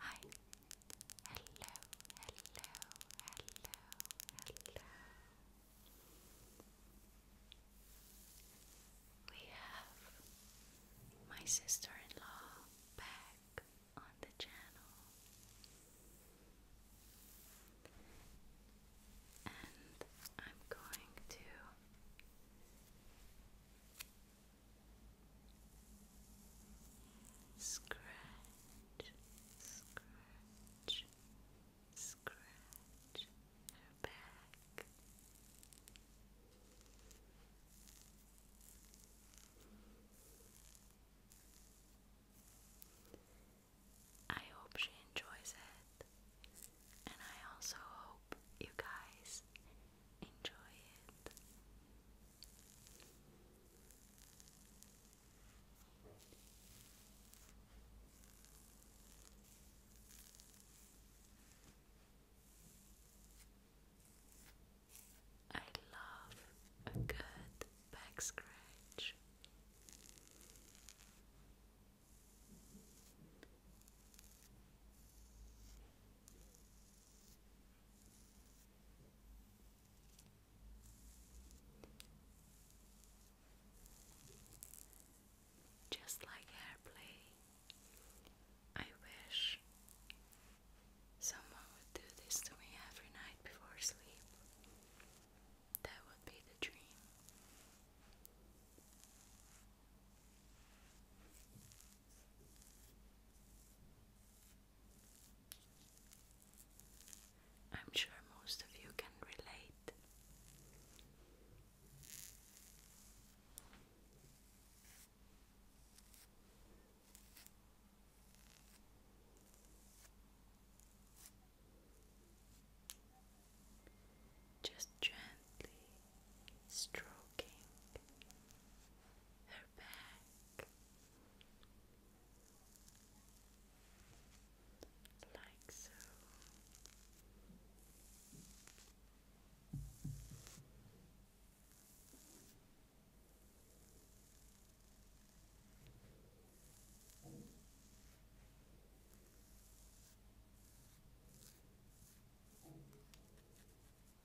Hi. Hello, hello, hello, hello. We have my sister in law back on the channel. And I'm going to Scratch, scratch, scratch her back. I hope she enjoys it, and I also hope you guys enjoy it. I love a good back scratch. Just like airplay, I wish someone would do this to me every night before sleep. That would be the dream. I'm sure most of you can relate. Just gently stroking her back like so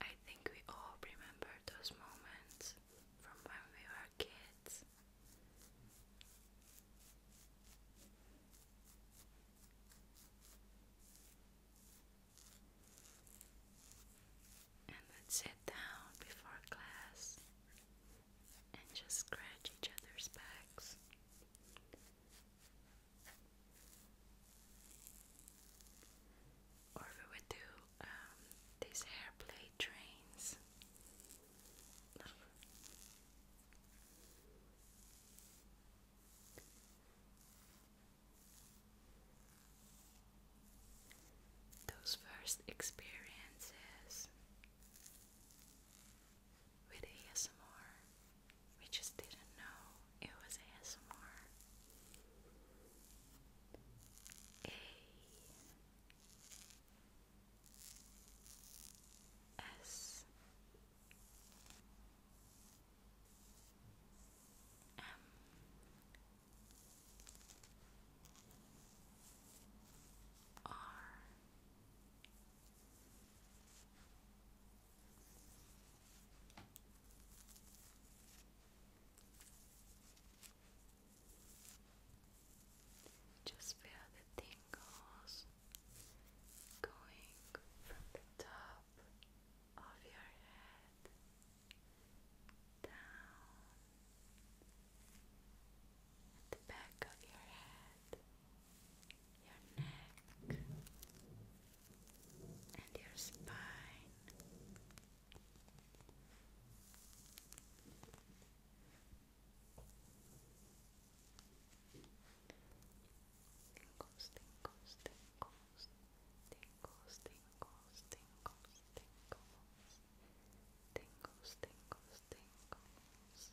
I think we all remember those moments from when we were kids. And would sit down before class and just scratch each other's backs. Or we would do um, these hair play trains. Those first experiences with ASMR we just didn't know it was ASMR. A S M R just feel the tingles going from the top of your head down the back of your head, your neck, and your spine. Tingles, tingles, tingles, tingles, tingles, tingles, tingles, tingles, tingles, tingles.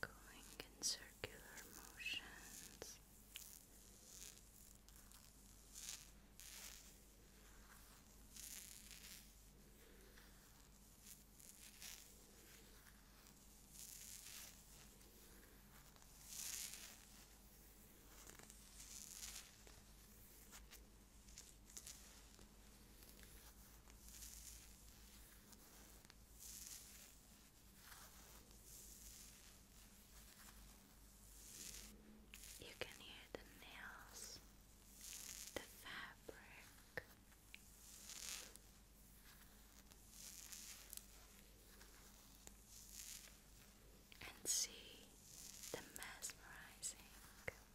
Going in circular motions. You can hear the nails, the fabric. And see the mesmerizing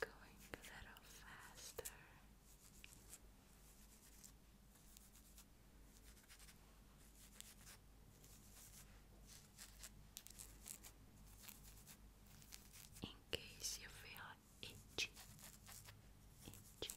Going a little faster in case you feel itchy, itchy, itchy.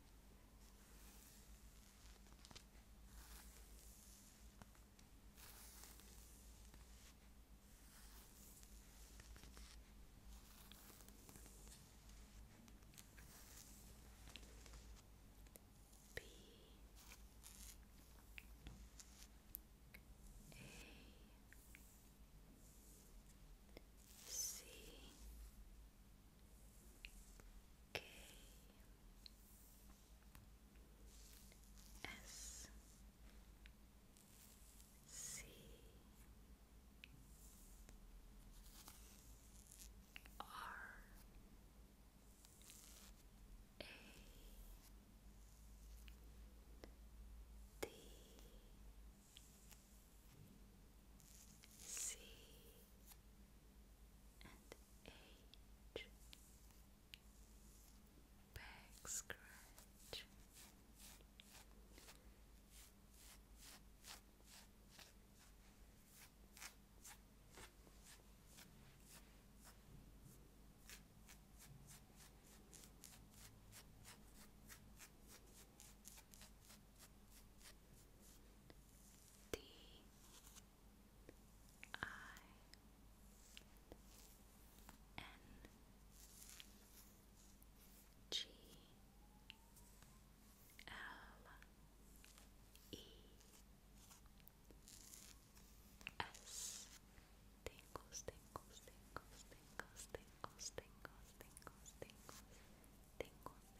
B A C K S C R A D C and H back scratch D I N G L E S Tingles, tingles, tingles, tingles, tingles, tingles, tingles, tingles, tingles,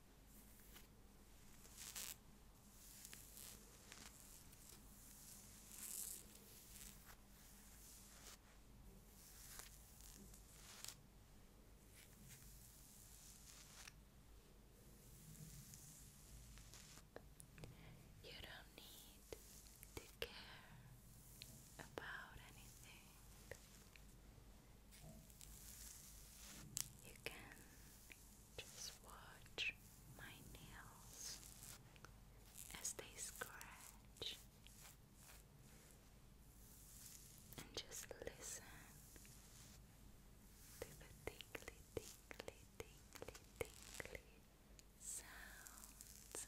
You don't need to care about anything. You can just watch my nails as they scratch and just listen to the tingly, tingly, tingly, tingly sounds.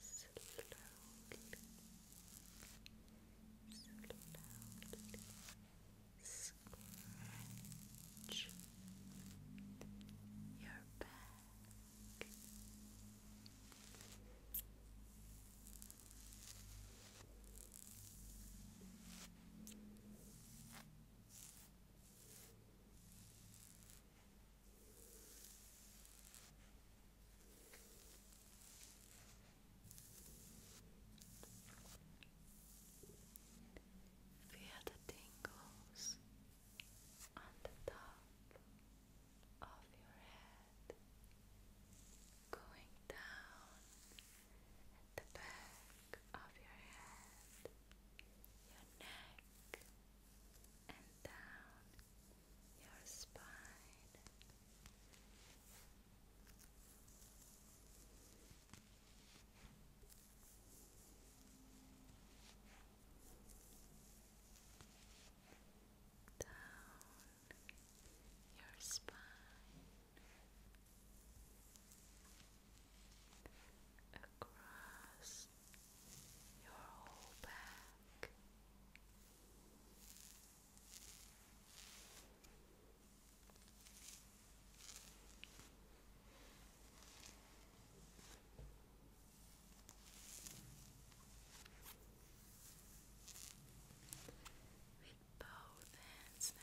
slowly, slowly scratch your back. Feel the tingles on the top of your head going down the back of your head, your neck, and down your spine. Down your spine across your whole back. With both hands now.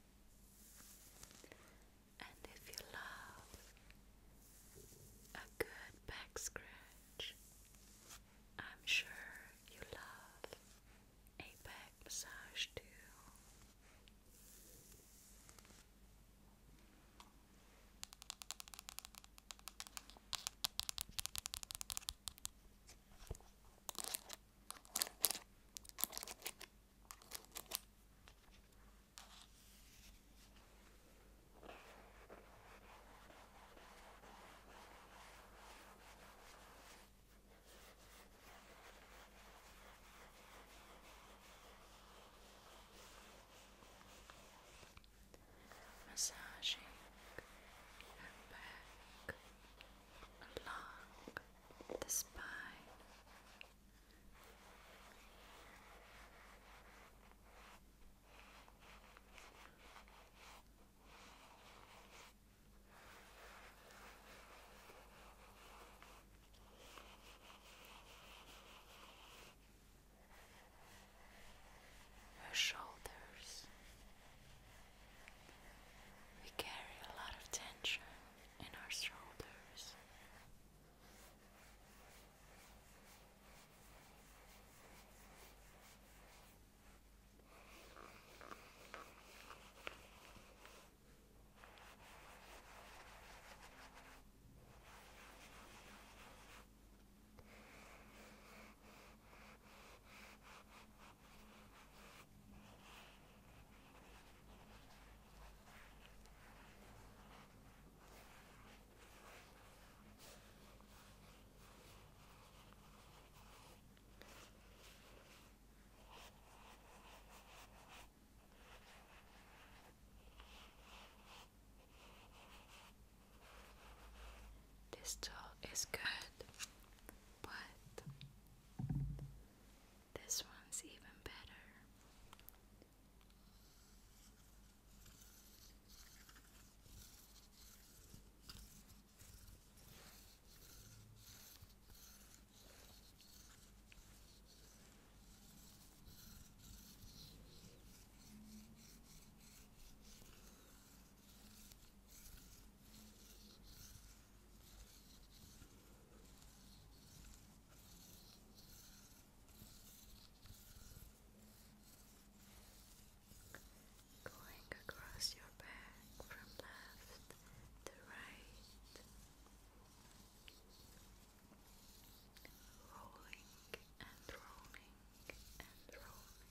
And if you love a good back scratch, I'm sure you love a back massage too. Massaging her back along the spine. Her shoulders we carry a lot of tension in our shoulders. This tool is good, but this one's even better. Going across your back from left to right, rolling and rolling and rolling.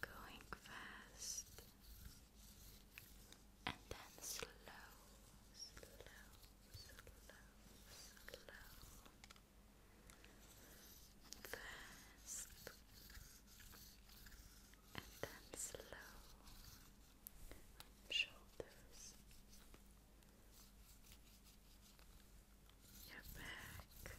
Going fast and then slow, slow, slow, slow, fast and then slow shoulders, your back.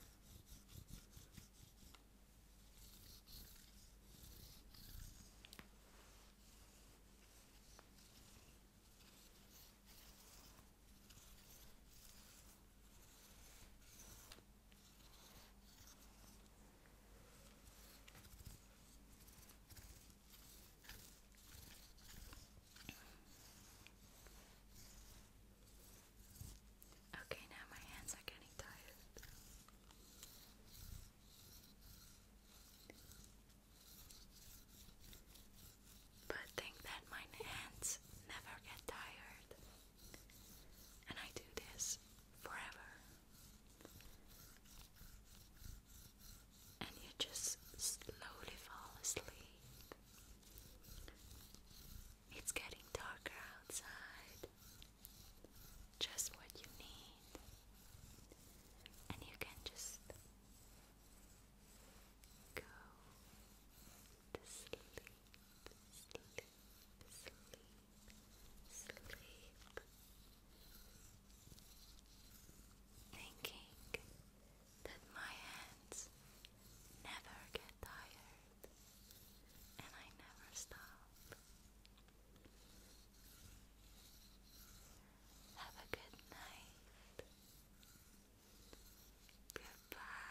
Okay, now my hands are getting tired. But think that my hands never get tired. And I do this forever. And you just slowly fall asleep. It's getting darker outside. Just what you need. And you can just go to sleep, sleep, sleep sleep, thinking that my hands never get tired and I never stop. Have a good night. Goodbye.